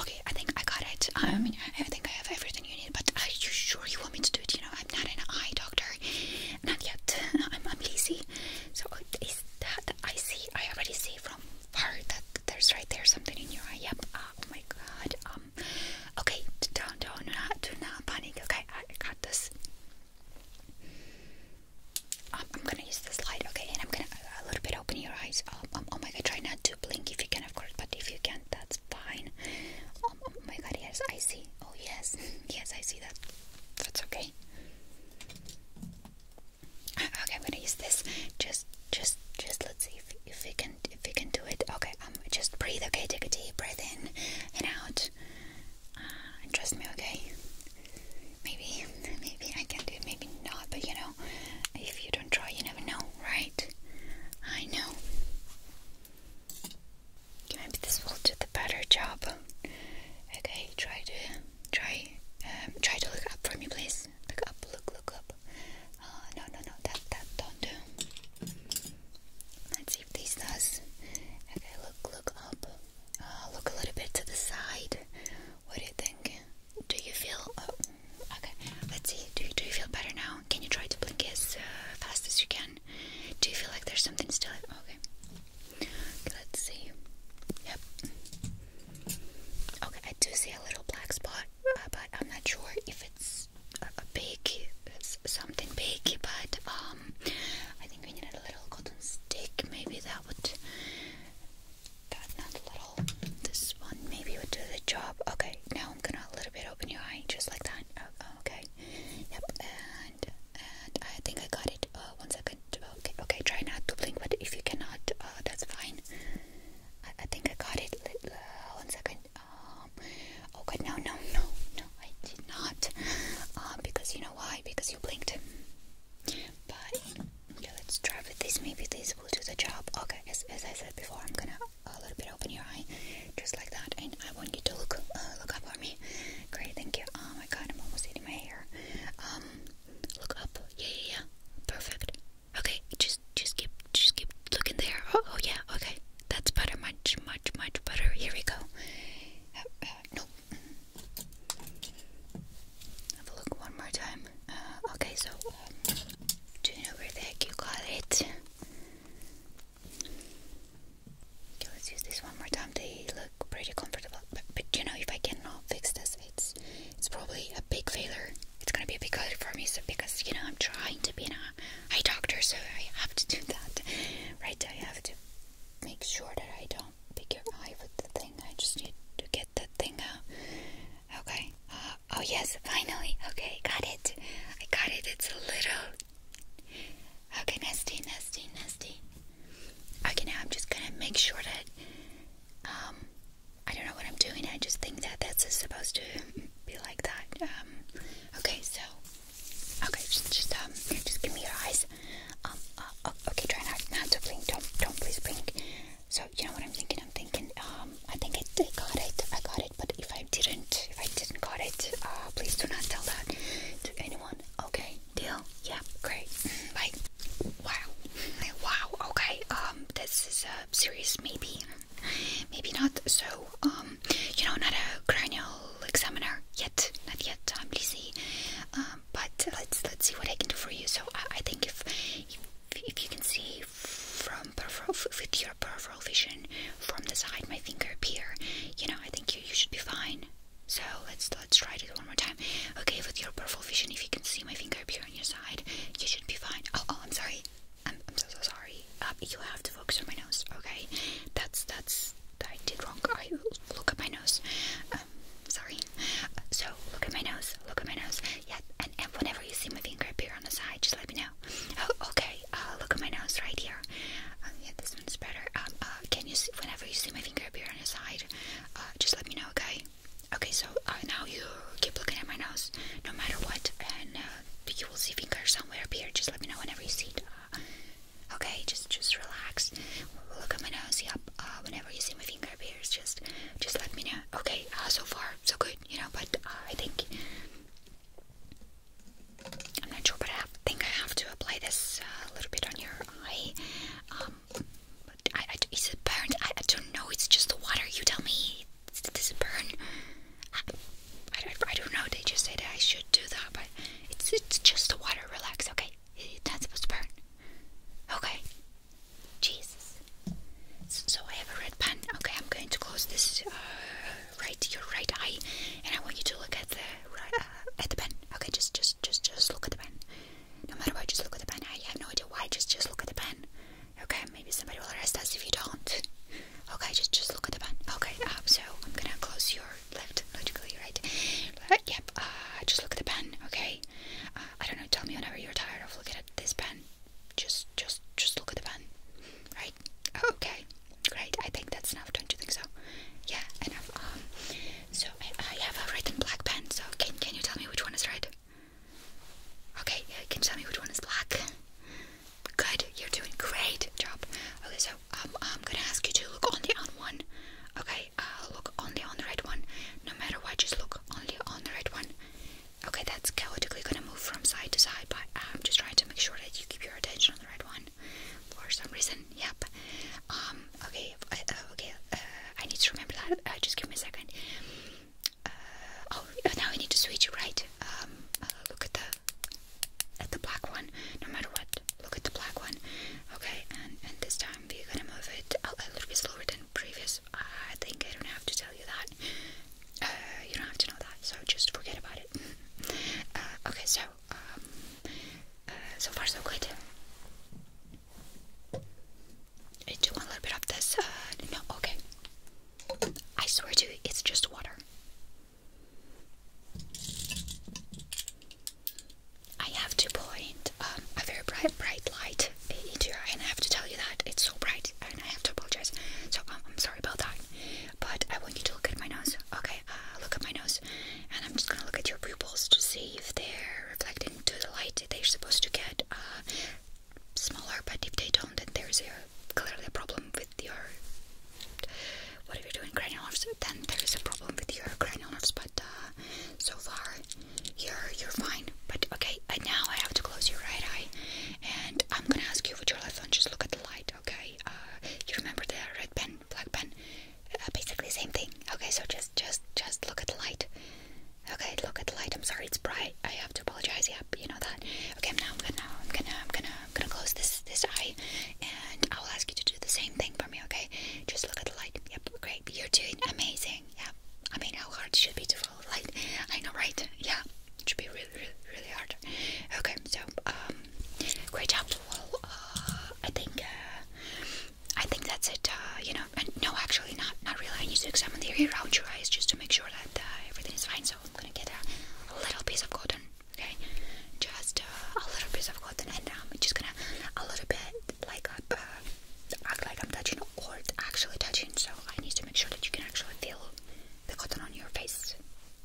Okay, I think I got it. I um, mean, I think I have everything you need, but are you sure you want me to do it? You know, I'm not an eye doctor. Not yet. I'm, I'm lazy. So, oh, is that I see? I already see from far that there's right there something in your eye. Yep. Ah, oh my god. Um. Okay, don't, don't, do not panic. Okay, I got this. Um, I'm gonna use this light, okay, and I'm gonna uh, a little bit open your eyes. Oh, um, oh my god, try now. To blink if you can, of course, but if you can't, that's fine. Oh, oh, my god, yes, I see. Oh, yes, yes, I see that. That's okay. Ah, okay, I'm gonna use this. Just, just, just let's see if if we can if we can do it. Okay, um, just breathe. Okay, take a deep breath in and out. Ah, trust me. Okay, maybe, maybe I can do it. Maybe not. But you know, if you don't try, you never know, right? I know. maybe this will do the better job. Okay, try to try um, try to look up for me, please. Look up, look, look up. Uh, no, no, no, that that don't do. Let's see if this does. Okay, look, look up. Uh, look a little bit to the side. What do you think? Do you feel oh, okay? Let's see. Do you, do you feel better now? Can you try to blink as uh, fast as you can? Do you feel like there's something still? Okay. Let's see. Yep. Okay, I do see a little black spot, uh, but I'm not sure if it's a, big something big. But um, I think we need a little cotton stick. Maybe that would Got another little. This one maybe would do the job. Okay, now I'm gonna a little bit open your eye, just like that. Oh, oh, okay. Yep. And and I think I got it. Uh, one second. Okay. Okay. Try not to blink, but if you cannot, uh, that's fine. I, I think I got it. Uh, one second. Um. Oh God. No. No. No. No. I did not. Uh, because you know why? Because you blinked. But Okay, let's try with this. Maybe this will do the job. Okay, as, as I said before, I'm gonna a little bit open your eye, just like that, and I want you to look uh, look up at me. Great, thank you. Oh my god, I'm almost eating my hair. Um, look up. Yeah, yeah, yeah. Perfect. Okay, just just keep just keep looking there. Oh, oh yeah. Okay, that's better. Much much much better. Here we go. Uh, uh, no. Have a look one more time. Uh, okay, so um, do you know where the heck you got it? Okay, let's use this one more time. They look pretty comfortable, but, but you know, if I cannot fix this, it's it's probably a big failure. It's gonna be a big failure for me, so because you know I'm trying to be an eye doctor, so I have to do that, right? I have to make sure that I don't pick your eye with the thing. I just need to get that thing out. Okay. oh, yes, finally. Okay, got it. I got it. It's a little. Okay, nasty, nasty, nasty. Okay, now I'm just gonna make sure that. Um, I don't know what I'm doing. I just think that that's supposed to be like that. Um, okay, so. Okay, just, just, um, just give me your eyes. Um, uh, oh, okay, try not, not to blink. Don't, don't please blink. So you know what I'm thinking? I'm thinking, um, I think it. I got it, I got it, but if I didn't, if I didn't got it, uh, please do not tell that to anyone. Okay, deal? Yeah, great. Bye. Mm, wow, wow. Okay, um, this is a uh, serious maybe, maybe not. So, um, you know, not a cranial examiner yet, not yet. I'm busy, um, but let's let's see what I can do for you. So I, think if if you can see from peripheral, with your peripheral vision from the side, my finger appear. You know, I think you, you should be fine. So let's let's try it one more time. Okay, with your peripheral vision, if you can see my finger appear on your side, you should be fine. Oh, oh, I'm sorry. I'm so so sorry. Um, you have to focus on my nose. Okay, that's that's I did wrong. I look at my nose. Um, sorry. So look at my nose. Look at my nose. Yeah, and, whenever you see my finger appear on the side, just let me know. Oh, okay. Uh, look at my nose right here. Uh, yeah, this one's better. Um, uh, can you see, whenever you see my finger appear on the side, uh, just let me know, okay? Okay, so uh, now you keep looking at my nose, no matter what, and uh, you will see finger somewhere appear. Just let me know whenever you see it. Uh, okay, just just relax. Look at my nose. Yep. Uh, whenever you see my finger appear, just just let me know. Okay, uh, so far so good, you know, but uh, I think I'm not sure, but I think I have to apply this uh, a little bit on your eye. Um, but I, I, is it burned? I, I don't know. It's just the water. You tell me. Does it burn? I, I, I don't know. They just said I should do that, but it's it's just the water. Relax, okay? It's not supposed to burn. Okay. Jesus. So I have a red pen. Okay, I'm going to close this uh, right your right eye, and I want you to look at the uh, at the pen. Okay, just just just just look at the pen. No matter what, just look at the pen. I have no idea why. Just just look at the pen. Okay, maybe somebody will arrest us if you don't. Okay, just just look at the pen. Okay, um, so I'm gonna close your left, logically right. Uh, yep. Uh, just look at the pen. Okay. I don't know tell me whenever you're tired of looking at this pen. Just, just, just look at the pen, right? Okay, great. I think that's enough. Don't you think so? Yeah, enough. Um, so I, have a red and black pen. So can can you tell me which one is red? Okay, uh, can you tell me which one is black? Good, you're doing great job. Okay, so um, I'm gonna ask you to look on the on one. Okay, Okay, uh, look only on the right one. No matter what, just look only on the right one. Okay, that's chaotically gonna move from side to side, but uh, I'm just trying to make sure that you keep your attention on the right one. For some reason, yep. Um, okay, uh, okay. Uh, I need to remember that. I just give me a second. oh, now I need to switch, right? Um, look at the at the black one. No matter what, look at the black one. Okay, and and this time we're gonna move it a, a little bit slower than previous I think I don't have to tell you that. Uh, you don't have to know that, so just forget about it. Uh, okay, so um, uh, so far so good. I do a little bit of this. no, okay. I swear to you, it's just water. I have to point um, a very bright, bright light eh, into your eye, and I have to tell you that it's so bright, and I have to apologize. So um, I'm sorry about that. But I want you to look at my nose. Okay, uh, look at my nose, and I'm just gonna look at your pupils to see if they're reflecting to the light. They're supposed to get uh, smaller, but if they don't, then there's a, clearly a problem with your what are you doing cranial nerves? Then there is a problem with your cranial nerves, but uh, so far you're you're fine. But okay, and now I have to close your right eye, and I'm gonna ask you with your left one. Just look at the light, okay? Uh, you remember the red pen, black pen, uh, basically same thing. Okay, so just just just look at the light. Okay, look at the light. I'm sorry, it's bright. I have to apologize. Yep, you know that. Okay, now I'm gonna I'm gonna I'm gonna I'm gonna close this this eye, and I will ask you to do the same thing for me. Okay, just look at the light. Yep, great. You're doing amazing. Yeah. I mean, how hard should be to follow light? I know, right? Yeah. It should be really, really, really hard. Okay. So, um, great job. Well, uh, I think, uh, I think that's it. Uh, you know, and no, actually, not, not really. I need to examine the area around your eyes just to make sure that uh, everything is fine. So I'm gonna get a, little piece of cotton. Okay, just uh, a little piece of cotton, and um, I'm um, just gonna a little bit like a, uh, act like I'm touching or actually touching, so I need to make sure that you can actually feel the cotton on your face.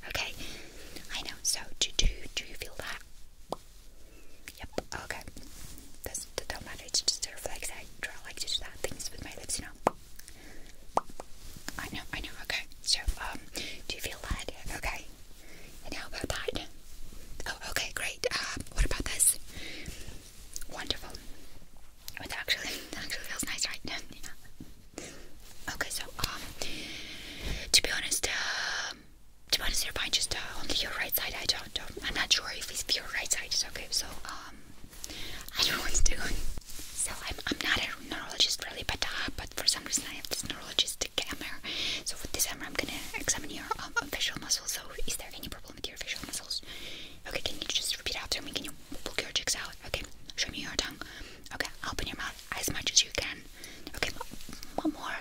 Okay, I know. So do do do you feel that? Yep. Okay. That's that don't matter. It's just a reflex. I try like to do that things with my lips, you know. I know. I know. Okay. So um, do you feel that? Okay. And how about that? Oh, okay, great. Um, what about this? Wonderful. It actually, actually feels nice, right? yeah. Okay, so um, to be honest, uh, to be honest, you're fine. Just uh, only your right side. I don't, don't. I'm not sure if it's your right side is okay. So um, I don't know what to do. So I'm, I'm not a neurologist really, but uh, but for some reason I have this neurologist camera. So with this camera, I'm gonna examine your um, facial muscles. So is there any problem? your facial muscles. Okay, can you just repeat after me? Can you pull your cheeks out? Okay, show me your tongue. Okay, open your mouth as much as you can. Okay, one more.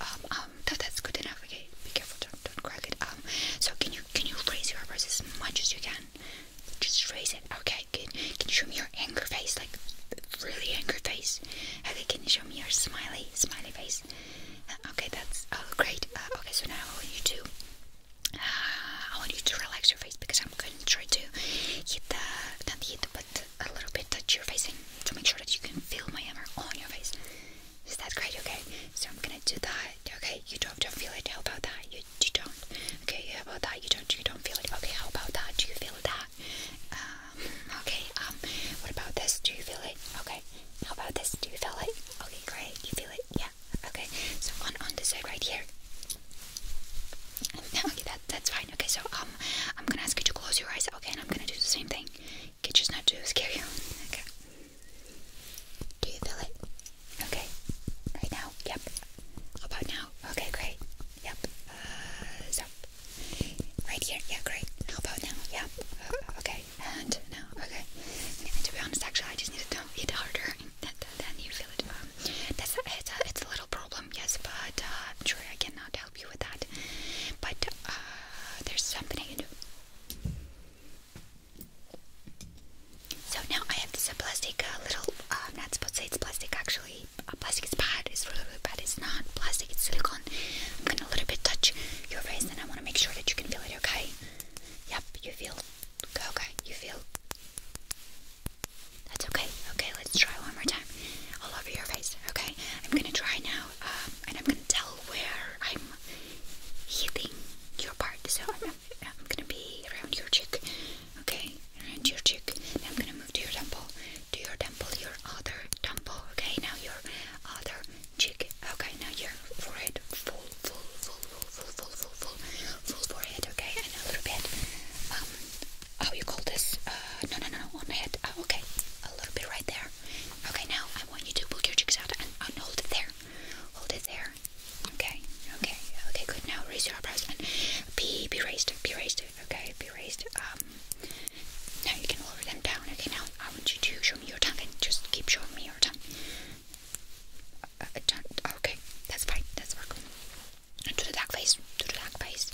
Um, um, that, that's good enough. Okay, be careful, don't, don't crack it. Um, so can you can you raise your eyebrows as much as you can? Just raise it. Okay, good. Can you show me your angry face, like really angry face? Okay, can you show me your smiley, smiley face? Okay, that's oh, great. Uh, okay, so now I want you to, uh, I want you to relax your face because I'm going to try to hit the, a little bit of your face to make sure that you can feel my hammer on your face. Is that great? Okay, so I'm gonna do that. Okay, you don't, don't feel it. How about that? You, you don't. Okay, how about that? You don't. You don't feel it. Okay, how about that? Do you feel that? Um, okay. Um, what about this? Do you feel it? Okay. How about this? Do you feel it? Okay, great. You feel it? Yeah. Okay. So on on this side right here. Okay, that that's fine. Okay, so um, I'm gonna ask you to close your eyes. Okay, and I'm gonna do the same thing. Okay, just not to scare you. Okay. Do you feel it? Okay. Right now? Yep. How about now? Okay, great. Yep. Uh, so. Right here? Yeah, great. How about now? Yep. Uh, okay right hand Okay. to be honest, actually, I just need to hit harder. Then you feel it. Um, that's a, it's, a, it's a little problem, yes, but uh, I'm sure I cannot help you with that. But uh, there's something I can do. So now I have this plastic uh, little. I'm uh, not supposed to say it's plastic actually. plastic is bad. It's really, really bad. It's not plastic. It's silicone. I'm gonna a little bit touch your face and I wanna make sure that you can feel it, okay? Yep, you feel okay, you feel that's okay. Okay, let's try one more time. All over your face, okay? I'm gonna try now, um, and I'm gonna tell where I'm hitting your part. So I'm gonna be around your cheek, okay? Around your cheek. Now I'm gonna move to your temple, to your temple, your other temple, okay? Now your other cheek. Okay, now your forehead, full, full, full, full, full, full, full, full, full forehead. Okay, and a little bit. Um, how you call this? Uh, no, no, no, no, on the head. Oh, okay, a little bit right there. Okay, now I want you to pull your cheeks out and, and hold it there. Hold it there. Okay, okay, okay, good. Now raise your eyebrows and be be raised, be raised. Okay, be raised. Um, now you can lower them down. Okay, now I want you to show me your tongue and just keep showing me your tongue. Uh, uh, okay, that's fine. That's work. To the dark face. To the dark face.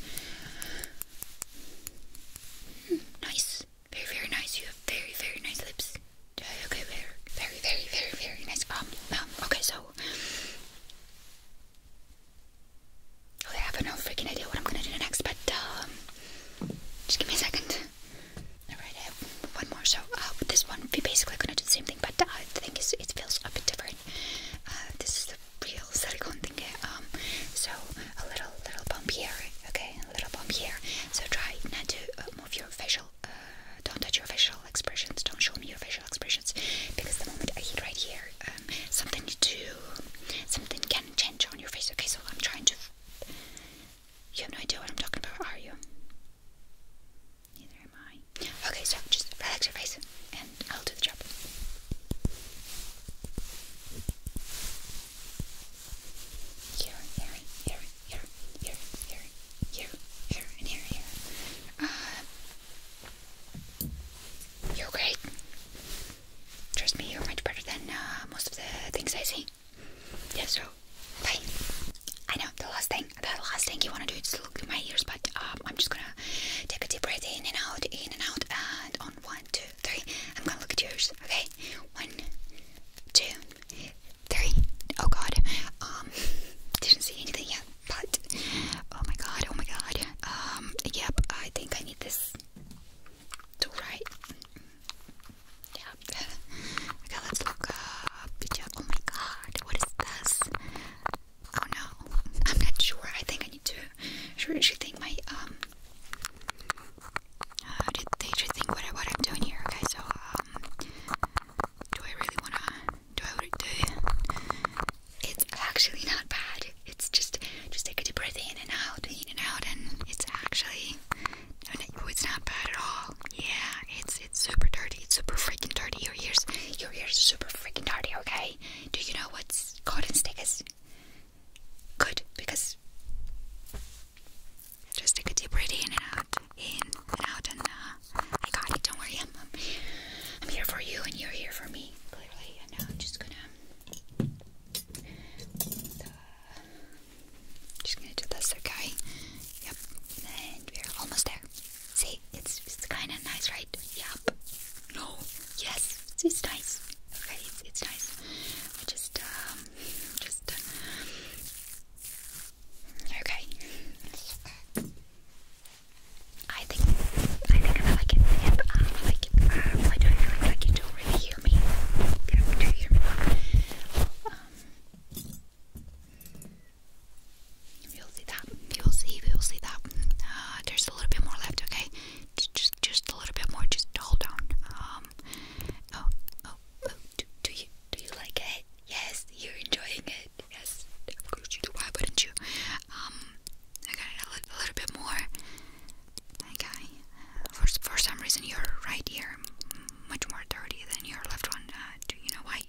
Hmm, nice. Very, very nice. You have very, very nice lips. Okay, very, very, very, very, nice. Um, um, okay, so. Oh, I have no freaking idea what I'm gonna do next, but um, just give me a second. Alright, I have one more. So, uh, with this one, we basically gonna do the same thing, but uh, the thing is, it feels a bit different. Uh, this is the real silicone thing. Um, so a little, little bump here. Okay, a little bump here. So try not to uh, move your facial. don't touch your facial expressions. Don't show me your facial expressions, because the moment I hit right here, um, something to, something can change on your face. Okay, so I'm trying to you have no idea what I'm talking about, are you? Neither am I. Okay, so just relax your face and I'll do the job. Here, here, here, here, here, here, here, and here, here. Uh, you're great. Trust me, you're much better than uh, most of the things I see. Yeah, so, bye. I know, the last thing, the last thing you want to do is look through my ears, but um, I'm just gonna take a deep breath in and out, in and out, and on one, two, three, I'm gonna look at yours, okay? One, two, three. Oh god, um, didn't see anything yet, but, oh my god, oh my god, um, yep, I think I need this to write. Yeah. okay, let's look up. Oh my god, what is this? Oh no, I'm not sure. I think I need to. Should you think my um? did they think what, what I'm doing here? Okay, so um, do I really wanna? Do I do? It's actually not bad. It's just just take a deep breath in and out, in and out, and it's actually oh, it's not bad at all. Yeah, it's it's super dirty. It's super freaking dirty. Your ears, your ears, super freaking dirty. Okay. Do you know what's cotton stick is? Good because just take a deep breath in and out, in and out, and uh, I got it. Don't worry, I'm I'm here for you, and you're here for me. Clearly, and now I'm just gonna just gonna do this, okay? Yep, and we're almost there. See, it's, it's kind of nice, right? Yep. No. Yes, it's, nice. Okay, it's, nice. I just, um, just. okay. I think I think I like it. I like it. I don't really like a already me? Get do you um, you'll see that. You'll see. You'll see that. Uh, there's a little bit more left. Okay, just, just, a little bit more. Just hold on. Um. Oh, oh, oh. Do, you, do you like it? Yes, you're enjoying it. Yes, of course you do. Why wouldn't you? Um. I a little bit more. Okay. For for some reason, your right ear much more dirty than your left one. Uh, do you know why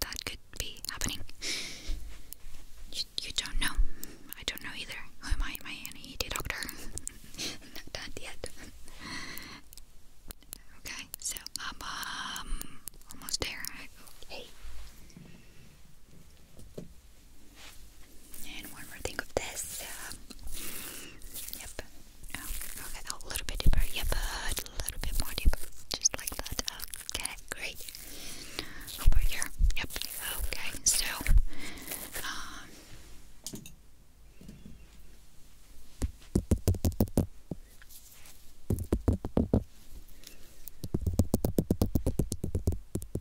that could be happening? You, you don't know. I don't know either. Who am I? my I an doctor? not, yet. okay. So um, um almost there. Hey. And one more thing of this. Uh, yep. Oh, okay, a little bit deeper. Yep, a little bit more deeper. Just like that. Okay, great. Over here. Yep. Okay, so. Um,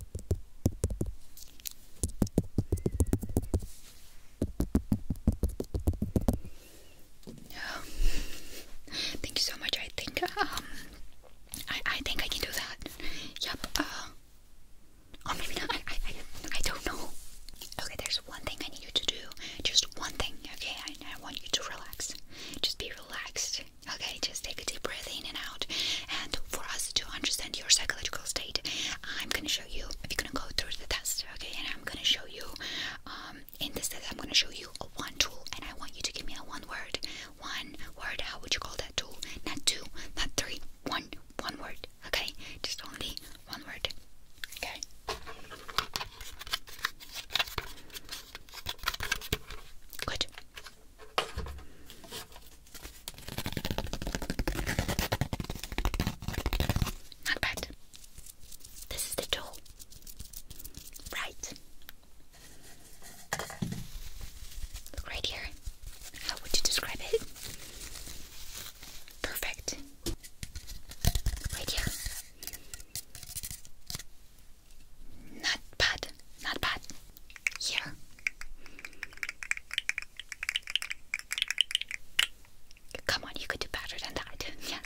Oh. Thank you so much. I think um I I think I can do that. Yep. Uh, oh maybe not. I I don't know. Okay, there's one thing I need you to do. Just one thing. Okay, I I want you to relax. Just be relaxed. Okay, just take take a deep breath in and out. And for us to understand your psychological state, I'm gonna show you. We're gonna go through the test, okay? And I'm gonna show you. Um, in this test, I'm gonna show you a one tool, and I want you to give me a one word. One word. How would you call that tool? Not two, not three. One. One word. Okay. Just only one word. Okay. Good. Not bad. This is the tool. Right. right here. How would you describe it? Perfect. Right here. Not bad. Not bad. Yeah. Come on, you could do better than that. Yes.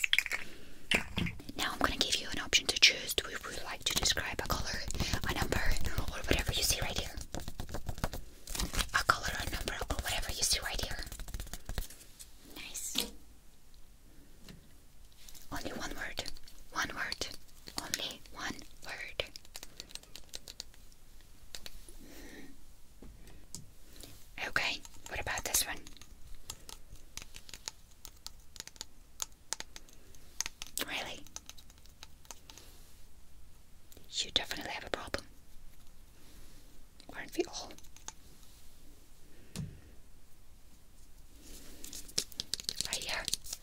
Now I'm gonna give you an option to choose. Do you would like to describe a color, a number, or whatever you see right here? A color, a number, or whatever you see right here. Nice. Only one word. One word. Only one word. Okay, what about this one? Really? You definitely have a problem. Aren't we all? Right here.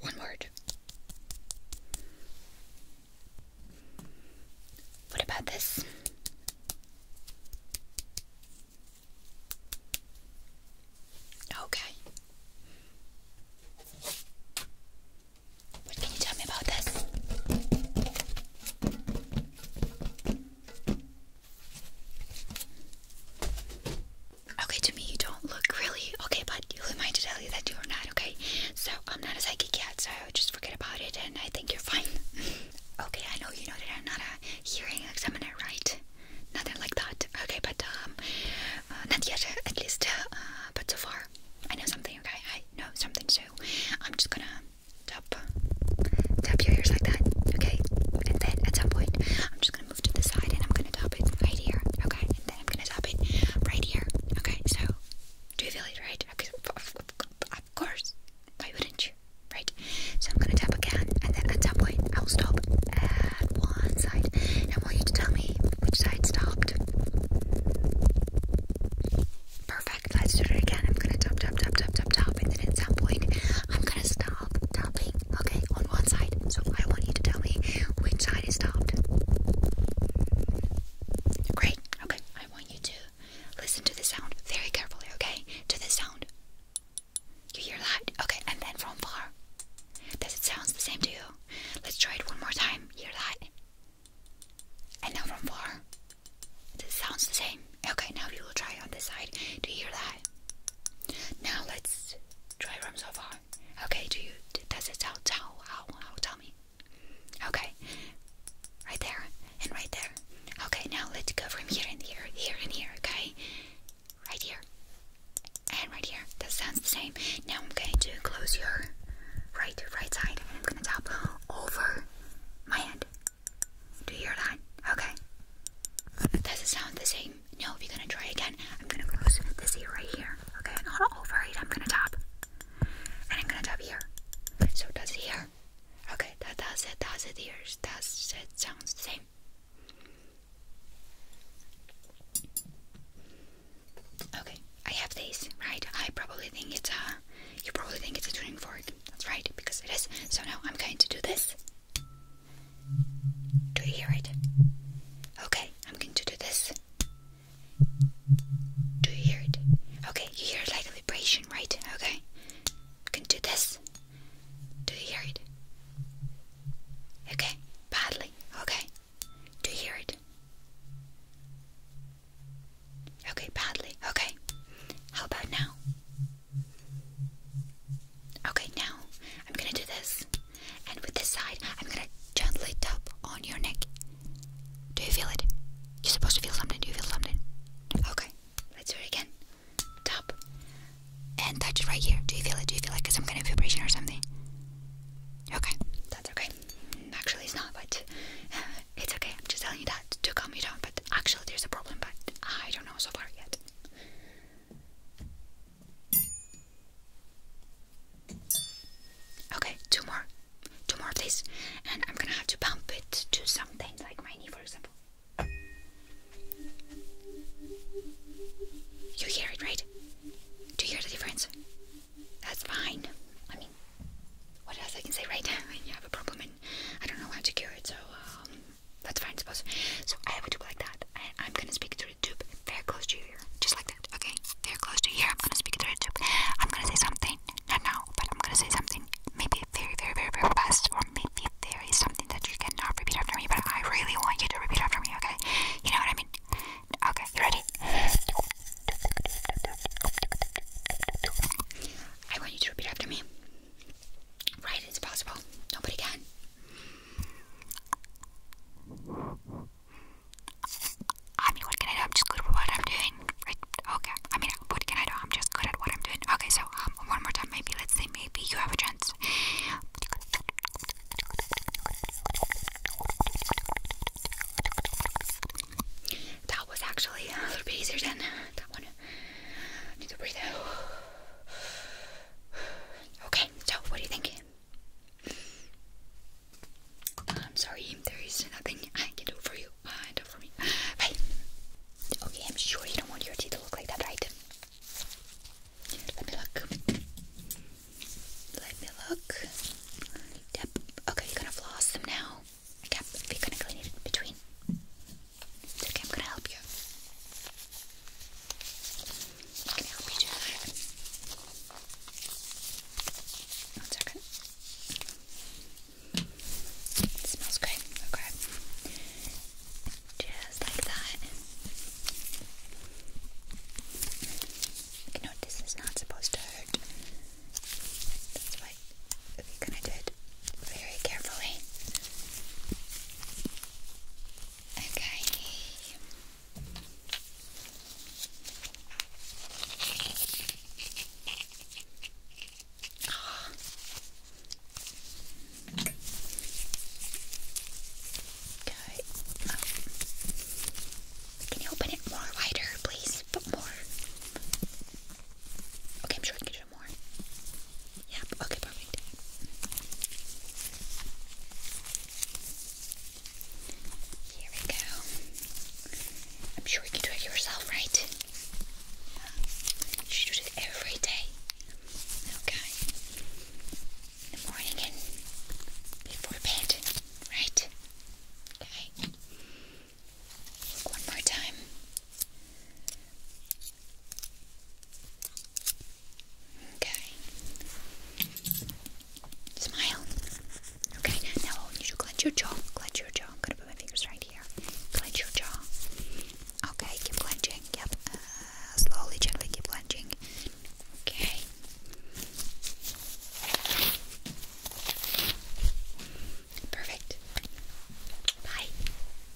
One word. What about this? Okay. What can you tell me about this? Okay, to me you don't look really okay, but who am I to tell you that you are not, okay? So I'm not a psychic yet, so just forget about it and I think you're fine. okay, I know you know that I'm not a hearing examiner, right? Nothing like that. Okay, but um uh, not yet at least uh, but so far I know something, okay? I know something, so I'm just gonna tap tap your ears like that, okay? And then at some point I'm just gonna gonna move to the side and I'm gonna tap it right here. Okay, and then I'm gonna tap it right here. Okay, so do you feel it right? Okay, of course. Why wouldn't you? Right. So I'm gonna tap again, and then at some point I'll stop at one side. And I want you to tell me which side stopped. Perfect. Let's do it again. I'm gonna tap, tap, tap, tap, tap, tap, and then at some point I'm gonna stop. Stop Okay, on one side. So I want you to tell me which side is stopped. Great. Okay, I want you to listen to the sound very carefully, okay? To the sound. You hear that? Okay, and then from far. Does it sounds the same to you? Let's try it one more time. Hear that? And now from far. It sounds the same. Okay, now we will try on this side. Do you hear that? Now let's try from so far. Okay, do you does it sound how how how tell me? Okay. Right there and right there. Okay, now let's go from here and here, here and here, okay? Right here. And right here. That sounds the same. Now I'm going to close your right right side and I'm over my hand. Do you hear that? Okay. Does it sound the same? no, we are gonna try again, I'm gonna close this ear right here. Okay, not over it. I'm gonna tap, and I'm gonna tap here. So that's here. Okay, that does it. Does it here? Does it sounds the same? Okay, I have these right? I probably think it's a. You probably think it's a tuning fork. That's right, because it is. So now I'm going to do this. Do you hear it? Okay, I'm going to do this. Do you hear it? Okay, you hear like a vibration, right? Okay, I can do this. Do you hear it? Okay, badly. Okay, do you hear it? Okay, badly. Okay, how about now? Okay, now I'm gonna do this, and with this side, I'm gonna gently tap on your neck. Do you feel it? You're supposed to feel something. Do you feel something? Okay, let's do it again. Tap and touch it right here. Do you feel it? Do you feel like some kind of vibration or something? Okay, that's okay. Actually, it's not, but it's okay. I'm just telling you that to calm you down. But actually, there's a problem, but I don't know so far yet. Okay, two more. Two more, please. And I'm gonna have to bump it to something like my knee, for example. You hear it, right? Do you hear the difference? That's fine. I mean, what else I can say, right? I you have a problem and I don't know how to cure it, so um, that's fine, suppose. So I have a tube like that. And I'm gonna speak through the tube very close to your Just like that, okay? Very close to here. I'm gonna speak through the tube. I'm gonna say something. Not now, but I'm gonna say something. Maybe very, very, very, very fast. Or maybe there is something that you cannot repeat after me, but I really want you to repeat after me, okay? You know what I mean? Okay, you ready? I want you to repeat after me. Right, it's possible. Nobody can. I mean, what can I do? I'm just good at what I'm doing. Okay. I mean, what can I do? I'm just good at what I'm doing. Okay, so um, one more time, maybe. Let's say maybe you have a chance. That was actually a little bit easier than that one. need to breathe out. Okay, so what do you think? Uh, I'm sorry, there is nothing I can do for you. Uh, do for me. Bye. Okay, I'm sure you don't want your teeth to look like that, right? Let me look. Let me look. Yep. Okay, you're gonna floss them now. Yep. You're gonna clean it in between. I'm gonna help you. i help you do that. One second. It smells good. Okay. Just like that. You know, this is not supposed to hurt. That's why we kind of do very carefully. Okay. Okay. Can you open it more wider, please? But more. Okay, I'm sure you can more. Yep, okay, perfect. Here we go. I'm sure you can do it yourself, right? You should do it every day. Okay. In the morning and before bed, right? Okay. One more time. Okay. Smile. Okay, now I to clench your jaw. Clench your jaw. I'm gonna put my fingers right here. Clench your jaw. Okay, keep clenching. Yep. Uh, slowly, gently keep clenching. Okay. Perfect. Bye.